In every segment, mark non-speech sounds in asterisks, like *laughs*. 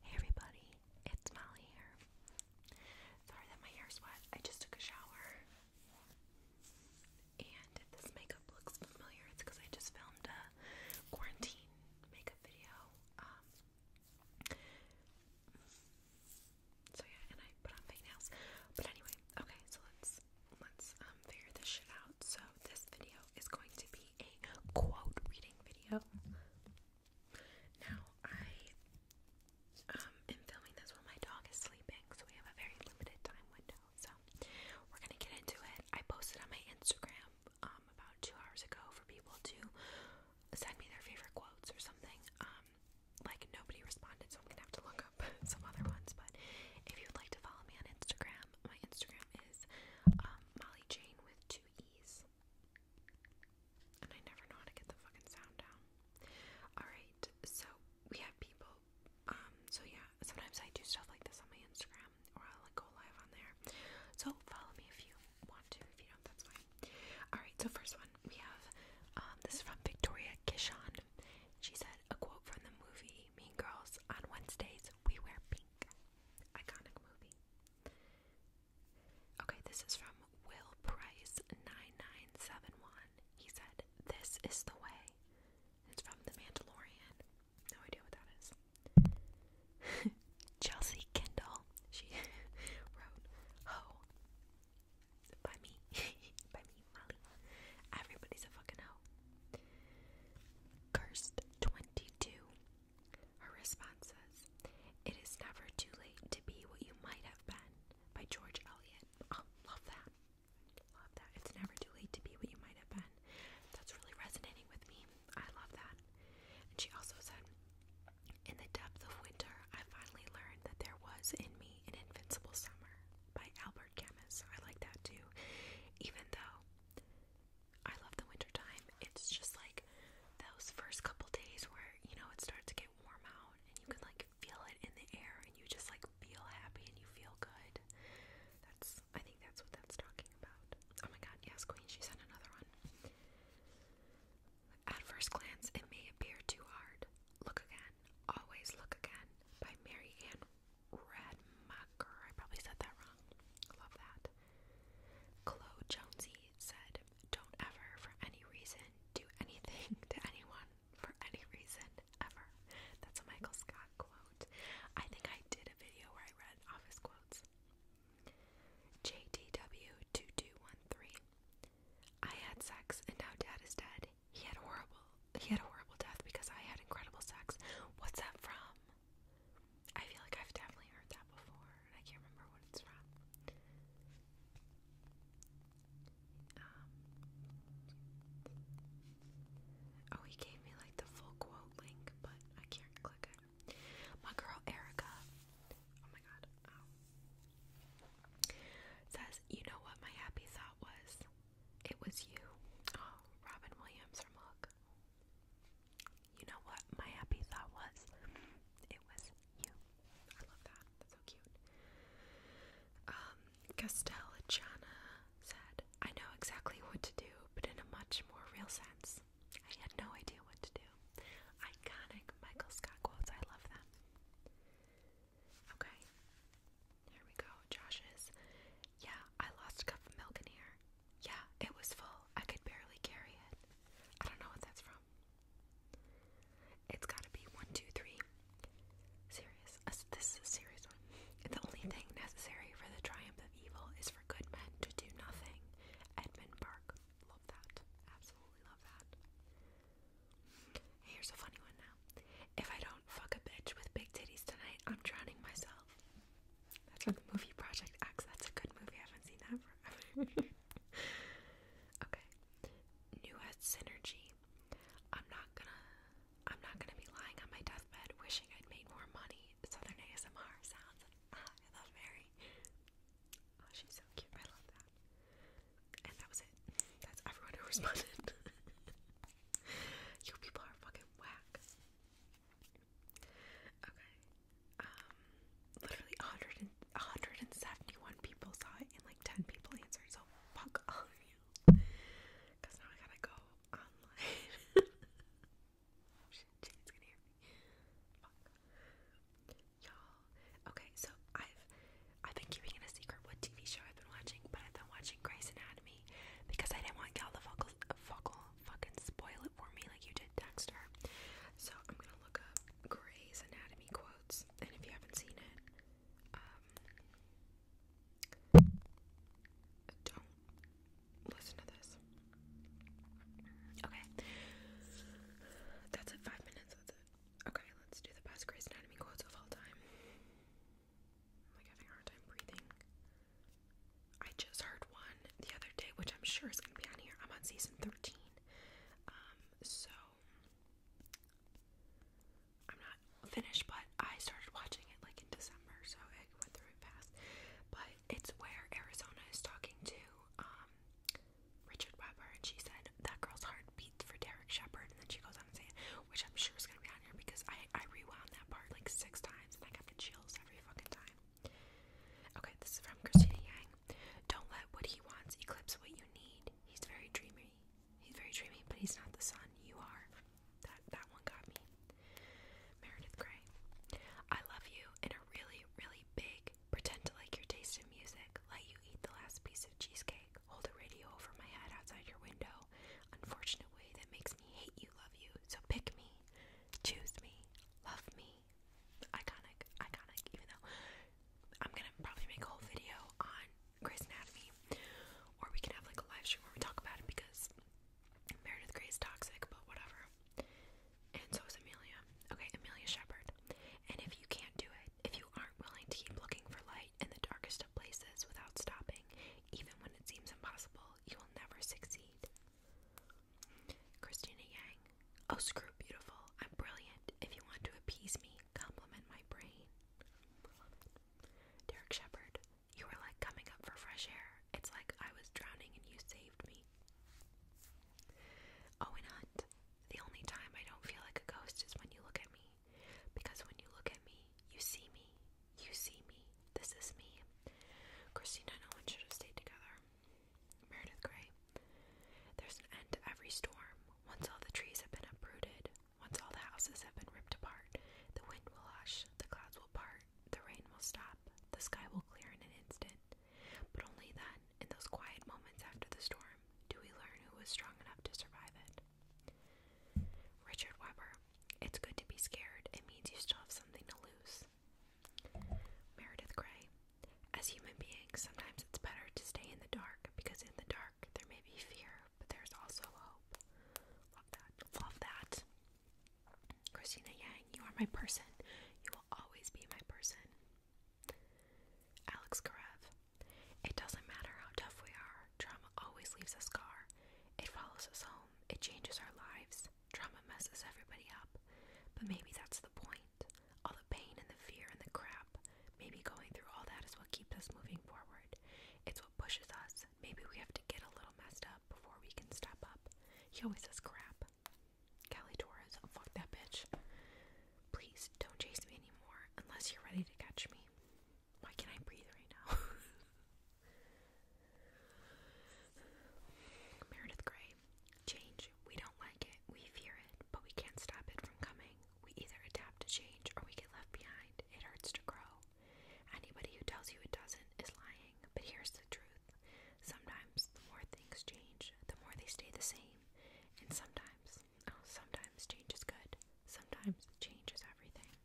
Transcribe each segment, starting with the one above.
Hey everybody, it's Molly here. Sorry that my hair's wet. I just took a shower. And if this makeup looks familiar, it's because I just filmed a quarantine makeup video. Um, so yeah, and I put on fake nails. But anyway, okay, so let's let's um, figure this shit out. So this video is going to be a quote reading video. Now, I um, am filming this while my dog is sleeping, so we have a very limited time window. So, we're gonna get into it. I posted on my Instagram um, about two hours ago for people to send me their favorite quotes or something. Um, like, nobody responded, so I'm gonna have to look up *laughs* some other ones. But if you'd like to follow me on Instagram, my Instagram is Molly Jane with two E's. And I never know how to get the fucking sound down. Alright, so we have people. Um, so yeah, sometimes I do stuff like this on my Instagram or I'll like, go live on there. So follow me if you want to. If you don't, that's fine. Alright, so first one we have um, this is from Victoria Kishan. She said a quote from the movie Mean Girls on Wednesdays we wear pink. Iconic movie. Okay, this is from Will Price 9971. He said, This is the way. It's from The Mandalorian. No idea what that is. *laughs* Chelsea Kendall, she *laughs* wrote, Ho. By me. *laughs* By me, Molly. Everybody's a fucking hoe. Cursed 22 her response says, It is never too late to be what you might have been by George Eliot. Oh, love that. Love that. It's never too late to be what you might have been. That's really resonating with me. I love that. And she also said, In the depth of winter, I finally learned that there was in me an invincible summer by Albert Camus. I like that too. Even though I love the winter time. It's just like those first couple days where, you know, it starts to get warm out and you can like feel it in the air and you just like feel happy and you feel good. That's I think that's what that's talking about. Oh my god, yes, Queen, she sent another one. At first glance, it may appear too hard. Look Again, Always Look Again by Mary Ann Radmacher. I probably said that wrong. Love that. Chloe Jonesy said, Don't ever, for any reason, do anything *laughs* to anyone for any reason ever. That's a Michael Scott quote. I think I did a video where I read office quotes. JTW2213. I had sex and now dad is dead. He had horrible he had a horrible death because I had incredible sex. What's that from? I feel like I've definitely heard that before, and I can't remember what it's from. Um, oh, he gave me like the full quote link, but I can't click it. My girl Erica, oh my god, um, says, You know what my happy thought was? It was you. Oh, Robin Williams from Hook you know what my happy thought was? It was you. I love that. That's so cute. Um, Castellana said, I know exactly what to do, but in a much more real sense. I had no idea what to do. Iconic Michael Scott quotes, I love them. Okay. Here we go. Josh's. Yeah, I lost a cup of milk in here. Yeah, it was full. I could barely carry it. I don't know what that's from. It's gotta be one, two, three. Serious. This is a serious one. The only thing necessary for the triumph of evil is for good men to do nothing. Edmund Burke. Love that. Absolutely love that. Here's a funny one now. If I don't fuck a bitch with big titties tonight, I'm drowning myself. That's from the movie Project X. That's a good movie. I haven't seen that forever. *laughs* okay. New Synergy. I'm not gonna I'm not gonna be lying on my deathbed wishing I'd made more money. Southern ASMR sounds I love Mary. Oh, she's so cute. I love that. And that was it. That's everyone who responded. *laughs* you people are fucking whack. Okay. Um, literally 100 people saw it and like 10 people answered. So fuck all of you. Because now I gotta go online. *laughs* Shit, Jane's gonna hear Y'all. Okay, so I've I've been keeping it a secret what TV show I've been watching, but I've been watching Grey's Anatomy because I didn't want y'all to fuckle, fuckle fucking spoil it for me like you did Dexter. So I'm gonna look up Grey's Anatomy quotes, and if you haven't seen it, um, don't listen to this. Okay, that's it. Five minutes. That's it. Okay, let's do the best Grey's Anatomy quotes of all time. I'm like having a hard time breathing. I just heard one the other day, which I'm sure is going to be on here. I'm on season 13. Um, so I'm not finished, but I started watching it like in December, so it went through fast. But it's where Arizona is talking to um, Richard Weber, and she said that girl's heart beats for Derek Shepard, and then she goes on and saying, which I'm sure is going to be on here because I rewound that part like six times and I got the chills every fucking time. Okay, this is from Christina Yang. Don't let what he wants eclipse what you need. He's very dreamy. He's very dreamy, but he's not the sun. You are. That that one got me. Meredith Grey. I love you in a really, really big pretend to like your taste in music. Let you eat the last piece of cheesecake. Hold a radio over my head outside your window. Unfortunate way that makes me hate you, love you. So pick me. Choose me. Love me iconic, iconic, even though I'm gonna probably make a whole video on Grey's Anatomy, or we can have like a live stream where we talk about it because Meredith Grey is toxic, but whatever. And so is Amelia. Okay, Amelia Shepherd. And if you can't do it, if you aren't willing to keep looking for light in the darkest of places without stopping, even when it seems impossible, you will never succeed. Christina Yang. Oh, screw beautiful. I'm brilliant. If you want to appease me, compliment my brain. Derek Shepard. You were like coming up for fresh air. It's like I was drowning and you saved me. Owen Hunt. The only time I don't feel like a ghost is when you look at me. Because when you look at me, you see me. You see me. This is me. Christina and Owen should have stayed together. Meredith Grey. There's an end to every storm. Once all the trees have been uprooted, once all the houses have been ripped apart, the wind will hush, the clouds will part, the rain will stop, the sky will clear in an instant. But only then, in those quiet moments after the storm, do we learn who was strong enough to survive it. Richard Weber. It's good to be scared. It means you still have something to lose. Meredith Grey. As human beings, sometimes it's better to stay in the dark because in the dark there may be fear, but there's also hope. Love that. Love that. Christina Yang, you are my person. You will always be my person. Alex Karev. It doesn't matter how tough we are, trauma always leaves a scar. It follows us home, it changes our lives. Trauma messes everybody up, but maybe that's the point. All the pain and the fear and the crap. Maybe going through all that is what keeps us moving forward. It's what pushes us. Maybe we have to get a little messed up before we can step up. He always says crap. Callie Torres, fuck that bitch. Please don't chase me anymore unless you're ready to catch me. Why can't I breathe right now? *laughs* Meredith Grey. Change. We don't like it. We fear it, but we can't stop it from coming. We either adapt to change or we get left behind. It hurts to grow. Anybody who tells you it doesn't is lying, but here's the truth. Sometimes the more things change, the more they stay the same. And sometimes, oh, sometimes change is good. Sometimes change is everything.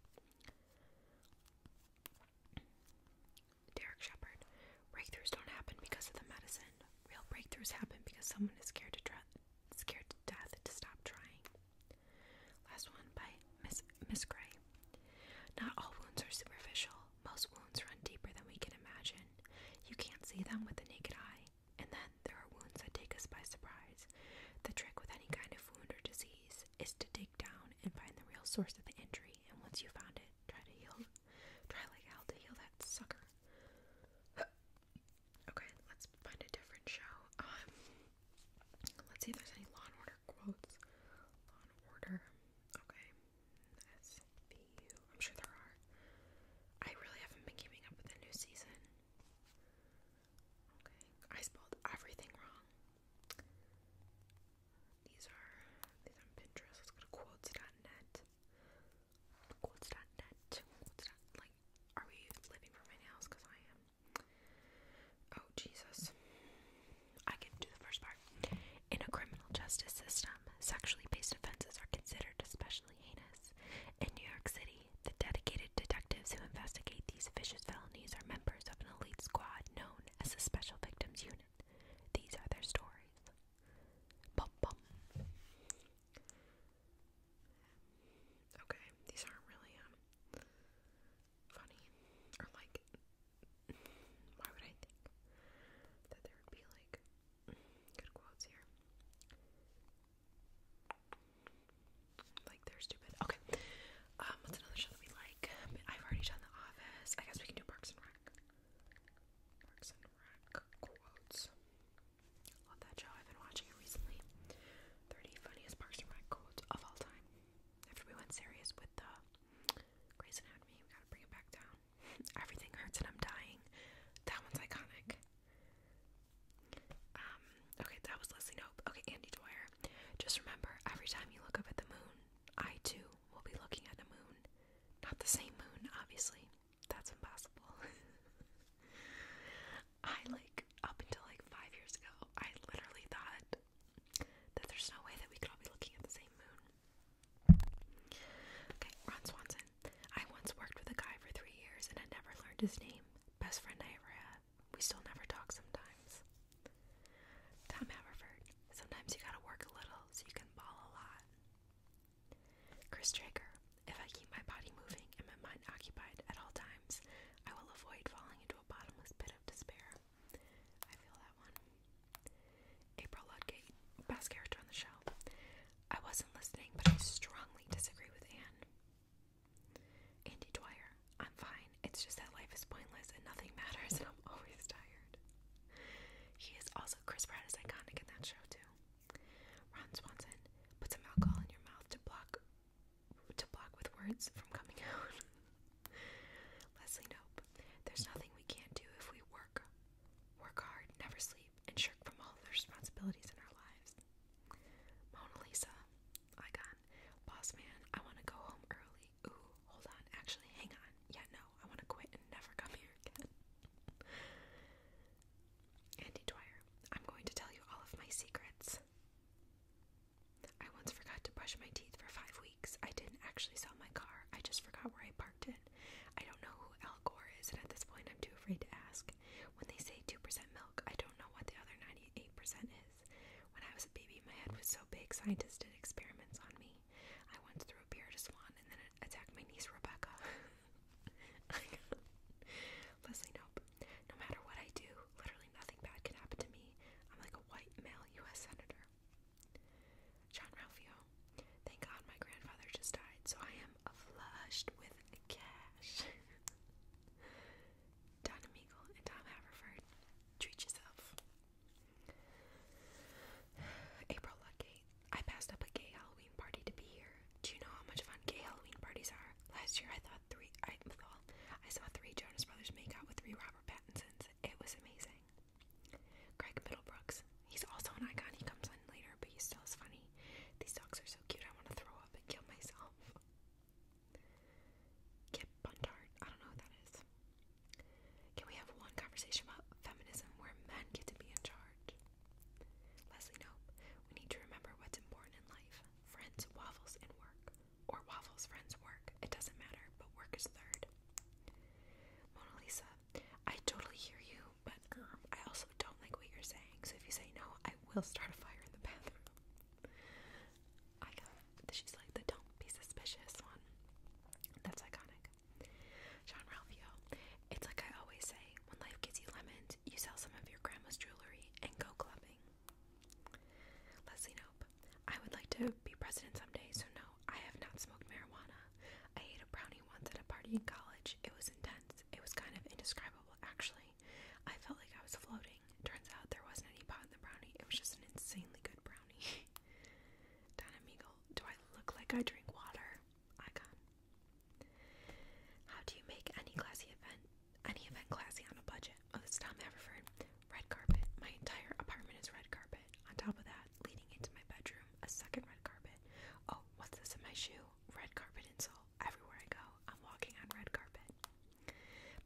Derek Shepard. Breakthroughs don't happen because of the medicine. Real breakthroughs happen because someone is scared to try, scared to death to stop trying. Last one by Miss Miss Gray. Not all wounds are superficial. Most wounds run deeper than we can imagine. You can't see them with the naked eye. And then there are wounds that take us by surprise. The trick with any kind of wound or disease is to dig down and find the real source of the injury, and once you found it, try to heal Try like hell to heal that sucker. *laughs* okay, let's find a different show. Um, let's see if there's any Law and Order quotes. Law and Order. Okay, SVU. I'm sure there are. I really haven't been keeping up with the new season. Okay, I spelled everything wrong. These are these on Pinterest. Let's go to quotes.net. Quotes.net. Quotes. Like, are we living for my nails? Cause I am. Oh Jesus! I can do the first part. In a criminal justice system, sexually based offenses are considered especially heinous. In New York City, the dedicated detectives who investigate these vicious felonies are members of an elite squad known as the Special Victims Unit. These are their stories. Bum bum. Okay, these aren't really um, funny. Or like why would I think that there would be like good quotes here? Like they're stupid. Okay. Um, what's another show that we like? I've already done The Office. I guess we can do Parks and Rec. Parks and Rec quotes. Love that show. I've been watching it recently. 30 funniest Parks and Rec quotes of all time. After went serious with the Grey's Anatomy, we gotta bring it back down. *laughs* Everything hurts and I'm dying. That one's iconic. Um, okay, that was Leslie Nope. Okay, Andy Dwyer. Just remember, every time you look up at the moon, I too will be looking at the moon. Not the same moon, obviously. That's impossible. *laughs* I like, up until like five years ago, I literally thought that there's no way that we could all be looking at the same moon. Okay, Ron Swanson. I once worked with a guy for three years and I never learned his name. Best friend I ever had. We still never talk sometimes. Tom Haverford, sometimes you gotta work a little so you can ball a lot. Chris Traeger, if I keep my body moving and my mind occupied at all times, I will avoid falling into a bottomless pit of despair. I feel that one. April Ludgate, best character on the show. I wasn't listening, but I strongly disagree with Anne. Andy Dwyer, I'm fine. It's just that life is pointless and nothing *laughs* matters, and I'm always tired. He is also Chris Pratt is iconic in that show too. Ron Swanson put some alcohol in your mouth to block to block with words from coming out. *laughs* Leslie Nope. There's nothing we can't do if we work. Work hard, never sleep, and shirk from all the responsibilities in our lives. Mona Lisa, icon, boss man, I want to go home early ooh, hold on. Actually, hang on. Yeah, no, I want to quit and never come here Andy Dwyer, I'm going to tell you all of my secrets. I once forgot to brush my teeth for five weeks. I didn't actually sell my car, I just forgot where I parked it. I don't know who Al Gore is, and at this point, I'm too afraid to ask. When they say 2% milk, I don't know what the other 98% is. When I was a baby, my head was so big, scientists did experiments on me me. I once threw a beer at swan and then it attacked my niece Rebecca. *laughs* Leslie Nope. No matter what I do, literally nothing bad can happen to me. I'm like a white male U.S. senator. John Ralphio. Thank God my grandfather just died, so I am flushed with cash. *laughs* Donna Meagle and Tom Haverford. Treat yourself. April Luckey. I passed up a gay Halloween party to be here. Do you know how much fun gay Halloween parties are? Last year I thought three I saw three Jonas Brothers make out with three Robert Pattinsons. It was amazing. Greg Middlebrooks. He's also an icon. He comes on later, but he still is funny. These dogs are so cute. I want to throw up and kill myself. Kip Buntard. I don't know who that is. Can we have one conversation about feminism where men get to be in charge? Leslie Nope, we need to remember what's important in life. Friends, waffles, and work. Or waffles, friends, work. It doesn't matter, but work is third. Mona Lisa, I totally hear you, but I also don't like what you're saying. So if you say no, I will start a fire in the bathroom. I she's like the don't be suspicious one. That's iconic. John Sean Ralphio, it's like I always say, when life gives you lemons, you sell some of your grandma's jewelry and go clubbing. Leslie Nope, I would like to be president someday, so no, I have not smoked marijuana. I ate a brownie once at a party in college. It was intense. It was kind of indescribable, actually. I felt like I was floating. Turns out there wasn't any pot in the brownie, it was just an insanely good brownie. *laughs* Don Amigo, do I look like I drink water? Icon. How do you make any classy event, any event classy on a budget? Oh, this is Tom Haverford. Red carpet. My entire apartment is red carpet. On top of that, leading into my bedroom, a second red carpet. Oh, what's this in my shoe? Red carpet insole. Everywhere I go, I'm walking on red carpet.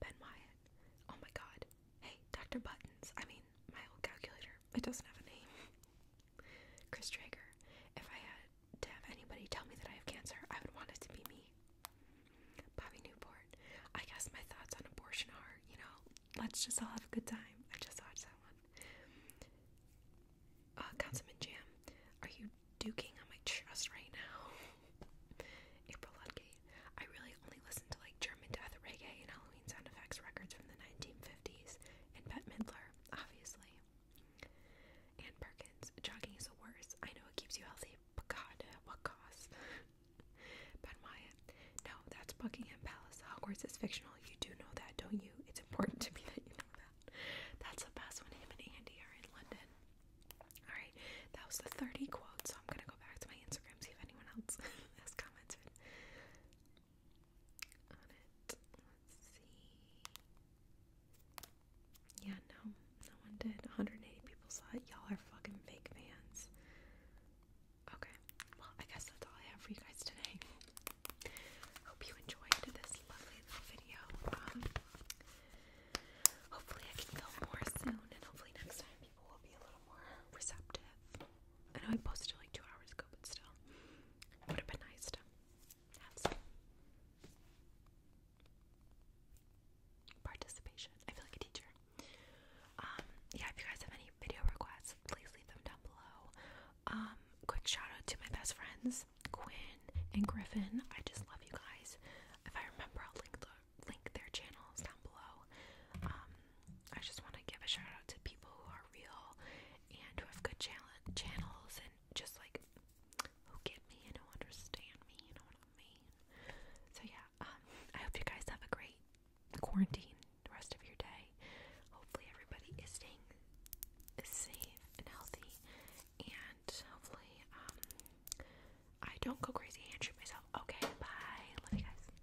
Ben Wyatt. Oh my god. Hey, Dr. Buttons. I mean, my old calculator. It doesn't have a name. Chris Traeger. If I had to have anybody tell me that I have cancer, I would want it to be me. Bobby Newport. I guess my thoughts on abortion are, you know, let's just all have a good time. I just watched that one. Uh, Councilman Jam. Are you duking on my chest right now? *laughs* April Ludgate. I really only listen like German death reggae and Halloween sound effects records from the 1950s, and Bette Midler, obviously. Ann Perkins, jogging is the worst. I know it keeps you healthy, *laughs* but God, what cost? ben Wyatt, no, that's Buckingham Palace. Hogwarts is fictional. You do know that, don't you? It's important to me that you know that. That's the best when him and Andy are in London. Alright, that was the 30 quotes, so I'm gonna go back to my Instagram, see if anyone else *laughs* has commented on it. Let's see. Yeah, no, no one did. 180 people saw it. Y'all are fucking fake fans. Okay, well, I guess that's all I have for you guys today. Hope you enjoyed this lovely little video. Um, hopefully, I can film more soon, and hopefully, next time people will be a little more receptive. I know I posted like two hours ago, but still, would have been nice to have some participation. I feel like a teacher. Um, yeah, if you guys have any video requests, please leave them down below. Um, quick shout out to my best friends, Quinn and Griffin. I just love you guys. If I remember, I'll link link their channels down below. Um, I just want to give a shout out to people who are real and who have good channels and just like who get me and who understand me, you know what I mean? So yeah, um, I hope you guys have a great quarantine the rest of your day. Hopefully everybody is staying safe and healthy and hopefully um, I don't go crazy and shoot myself. Okay, bye. Love you guys.